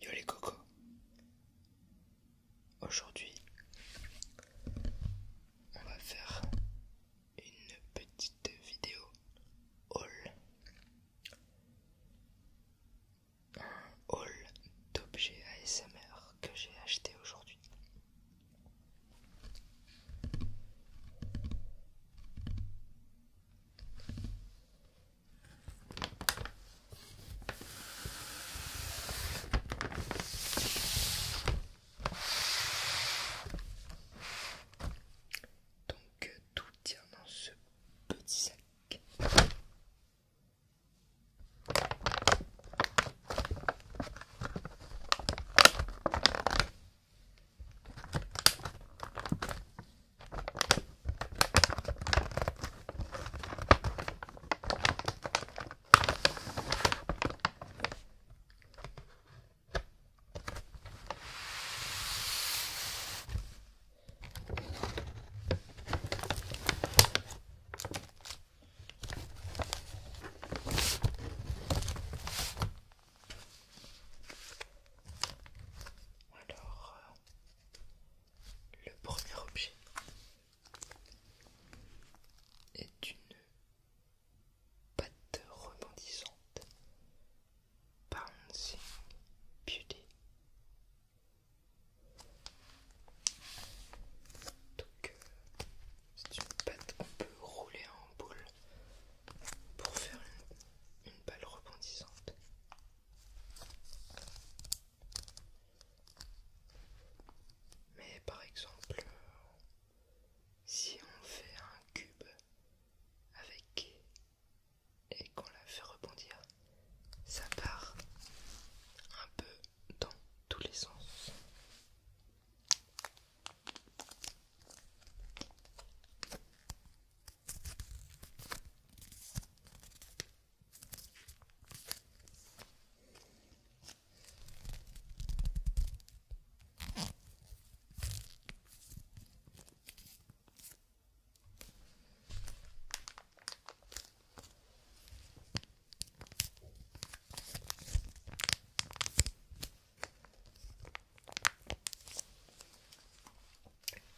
Yo les cocos. Aujourd'hui, on va faire une petite vidéo haul. Un haul d'objets ASMR que j'ai acheté aujourd'hui. Donc euh, tout tient dans ce petit sac. Alors, euh, le premier objet est une patte rebondissante, bouncing beauty. Donc, euh, c'est une patte qu'on peut rouler en boule pour faire une balle rebondissante. Mais par exemple, euh, si on fait un cube avec et qu'on la fait rebondir, ça part un peu dans tous les sens.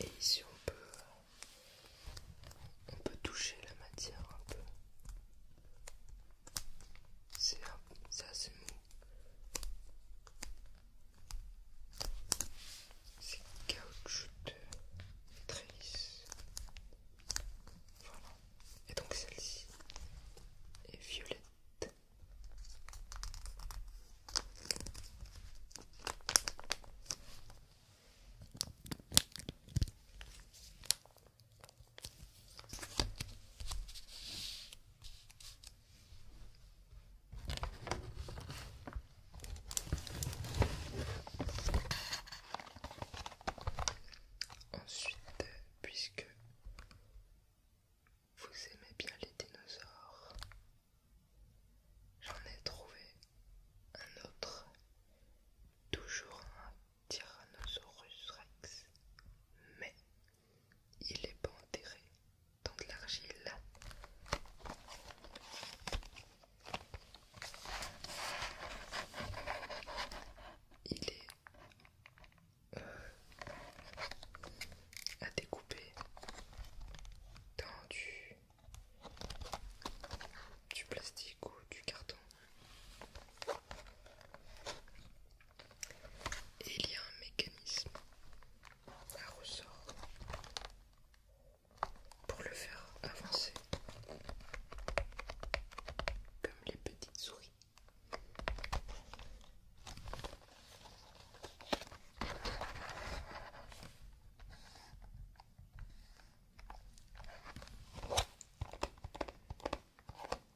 Et ici on peut on peut toucher la matière un peu. C'est assez mou. C'est caoutchouc très lisse. Voilà. Et donc celle-ci est violette. Ensuite, puisque vous aimez bien les dinosaures, j'en ai trouvé un autre, toujours un Tyrannosaurus rex, mais il est pas enterré dans de l'argile. Il est euh, à découper dans du plastique ou du carton il y a un mécanisme à ressort pour le faire avancer comme les petites souris.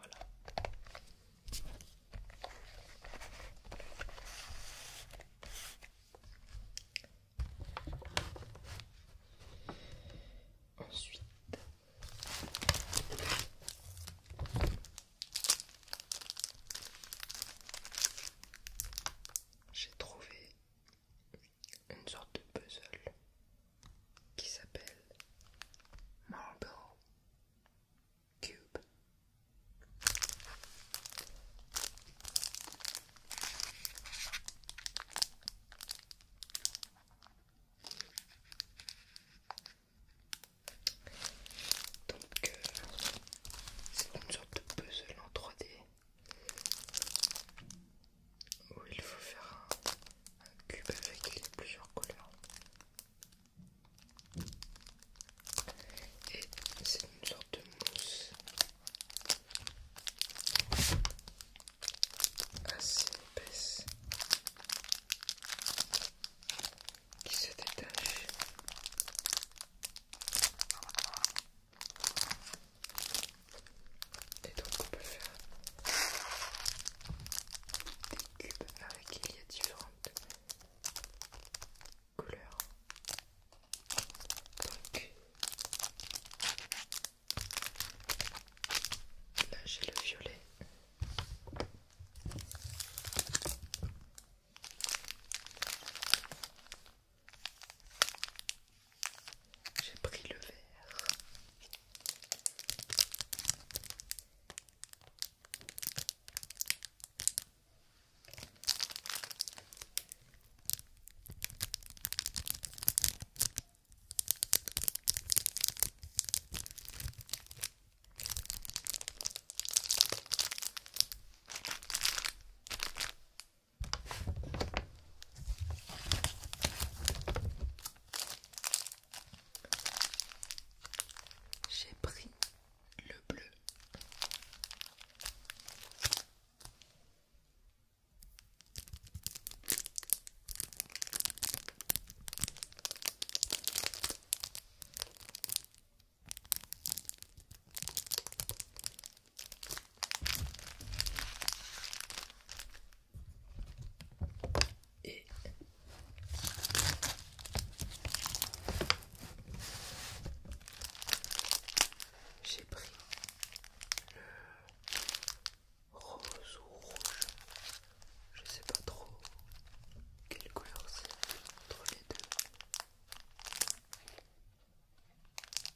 Voilà. Ensuite, j'ai trouvé une sorte de puzzle qui s'appelle Marble Cube. Donc, euh, c'est une sorte de puzzle en 3D où il faut faire un, cube avec les plusieurs couleurs. Et c'est une sorte de mousse assez épaisse qui se détache. Et donc on peut faire des cubes avec il y a différentes couleurs. Donc là j'ai le violet. J'ai pris le verre. J'ai pris le bleu j'ai pris le rose ou rouge, je sais pas trop quelle couleur c'est entre les deux.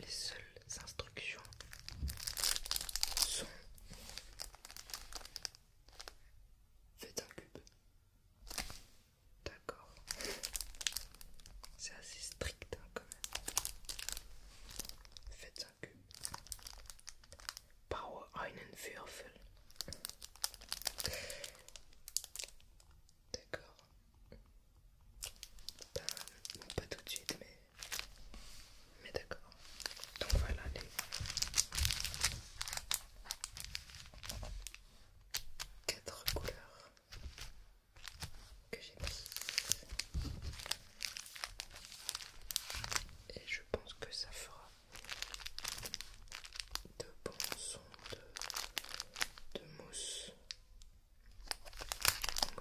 Les seules instructions sont Faites un cube. D'accord. C'est assez strict hein, quand même. Faites un cube. Power einen Würfel. D'accord. Pas, tout de suite, mais, d'accord. Donc voilà les... Quatre couleurs que j'ai mis et je pense que ça fera de bons sons de mousse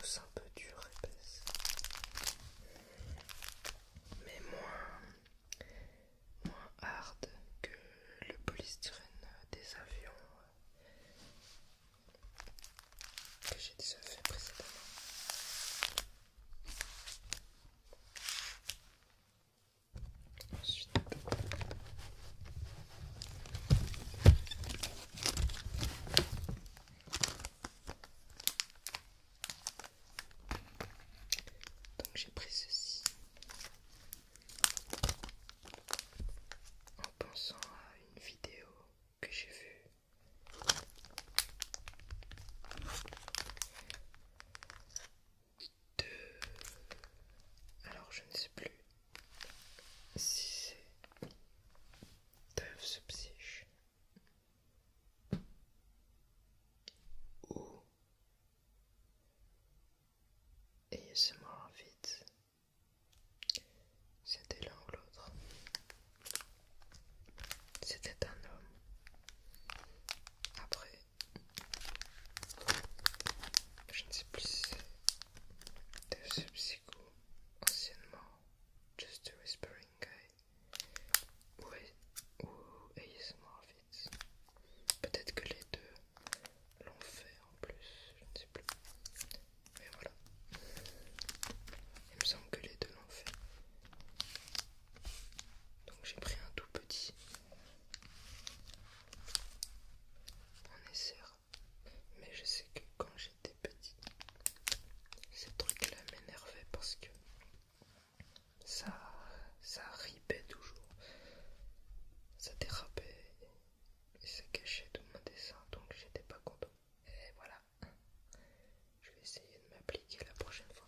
c'est un peu dure, épaisse. Mais moins, moins hard que le polystyrène des avions euh, que j'ai déjà fait précédemment. Ensuite. Donc j'ai pris ceci en pensant à une vidéo que j'ai vue alors je ne sais plus si c'est Dove et ou en vite. C'était l'un ou l'autre. C'était un homme. Après, je ne sais plus si c'est psycho anciennement Just a Whispering Guy ou, ou ASMR Peut-être que les deux l'ont fait en plus, je ne sais plus. Mais voilà. Il me semble que les deux l'ont fait. Donc j'ai pris un tout petit on essaie, Mais je sais que quand j'étais petite, ces trucs-là m'énervait parce que ça, ça ripait toujours. Ça dérapait et ça cachait tout mon dessin, donc j'étais pas content. Et voilà. Je vais essayer de m'appliquer la prochaine fois.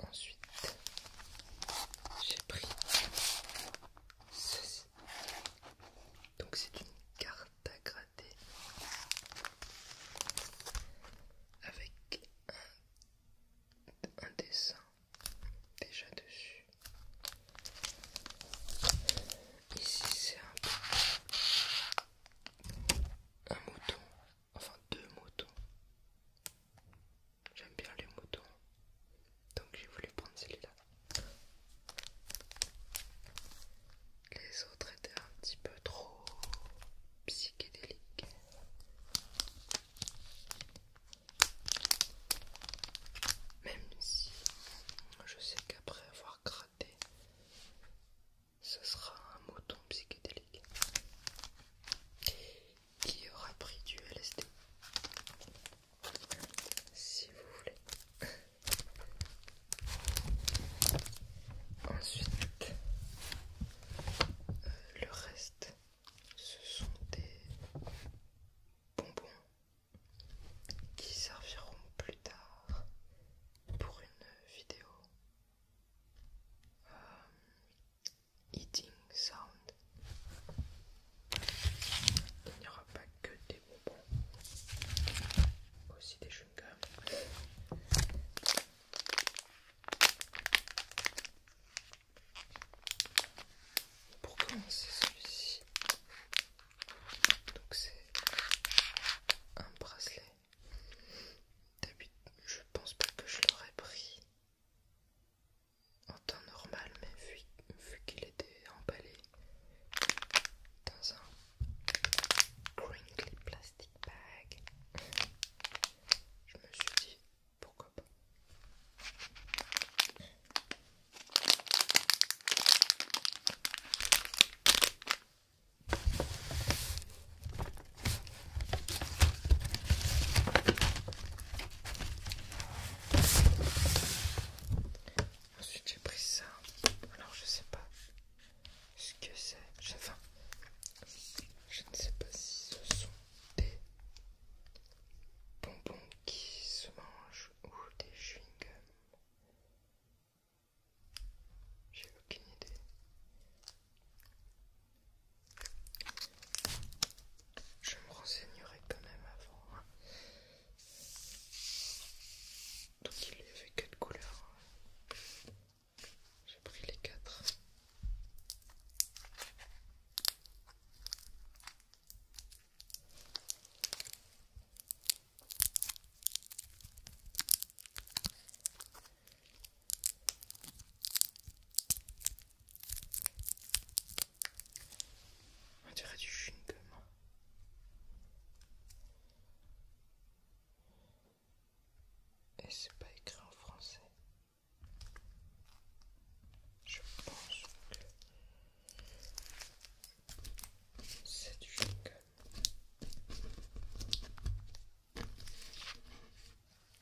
Ensuite, j'ai pris ceci. Donc c'est une carte à gratter avec un, dessin déjà dessus. Ici c'est un, un mouton enfin deux moutons. J'aime bien les moutons, donc j'ai voulu prendre celui-là. Les autres étaient un petit peu trop psychédéliques. Même si je sais qu'après avoir gratté, ce sera un mouton psychédélique qui aura pris du LSD si vous voulez. Ensuite, euh, le reste, ce sont des bonbons qui serviront plus tard pour une vidéo euh, eating sound. Il n'y aura pas que des bonbons, aussi des chewing Pour commencer celui-ci, donc c'est un bracelet. D'habitude, je pense pas que je l'aurais pris en temps normal, mais vu, qu'il était emballé dans un crinkly plastic bag, je me suis dit pourquoi pas. Ensuite j'ai pris ça. Alors je sais pas ce que c'est. Enfin, je ne sais pas si ce sont des bonbons qui se mangent ou des chewing-gums. J'ai aucune idée. Je me renseignerai quand même avant. Hein. Donc il y avait quatre couleurs. Hein. J'ai pris les quatre. On dirait du chewing-gum. Et c'est pas écrit en français. Je pense que c'est du chewing-gum.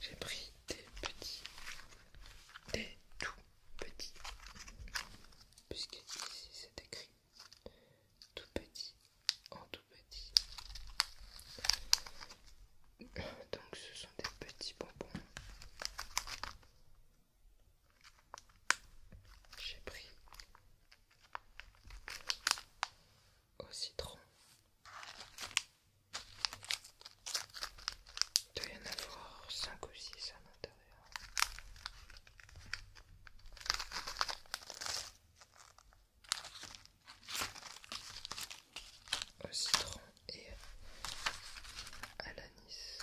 J'ai pris des petits, des tout petits, puisque ici c'est écrit tout petit en tout petit. Donc ce sont des petits bonbons. J'ai pris au citron il doit y en avoir 5 ou 6 à l'intérieur. Au citron et à l'anis.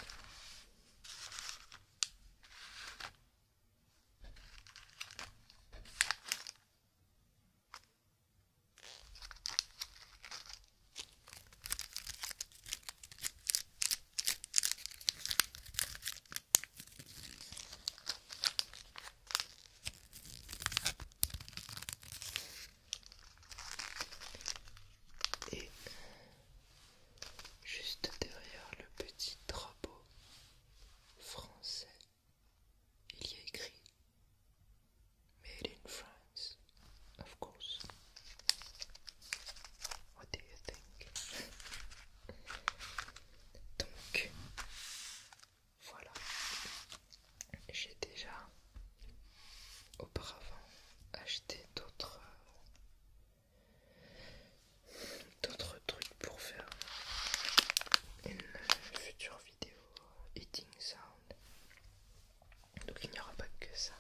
Et juste derrière le petit drapeau français il y a écrit Made in France, of course. What do you think? Donc, voilà. J'ai déjà auparavant acheté d'autres d'autres trucs pour faire une future vidéo eating sound. Donc il n'y aura pas que ça.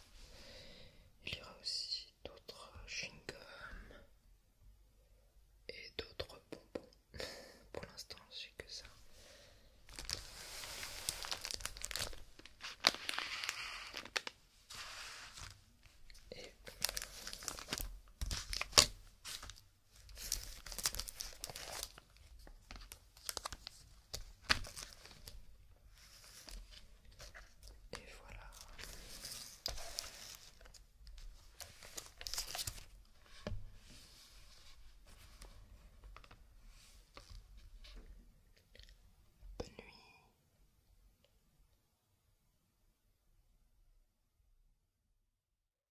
Il y aura aussi d'autres chewing-gum et d'autres bonbons. Pour l'instant, c'est que ça. Et voilà. Bonne nuit.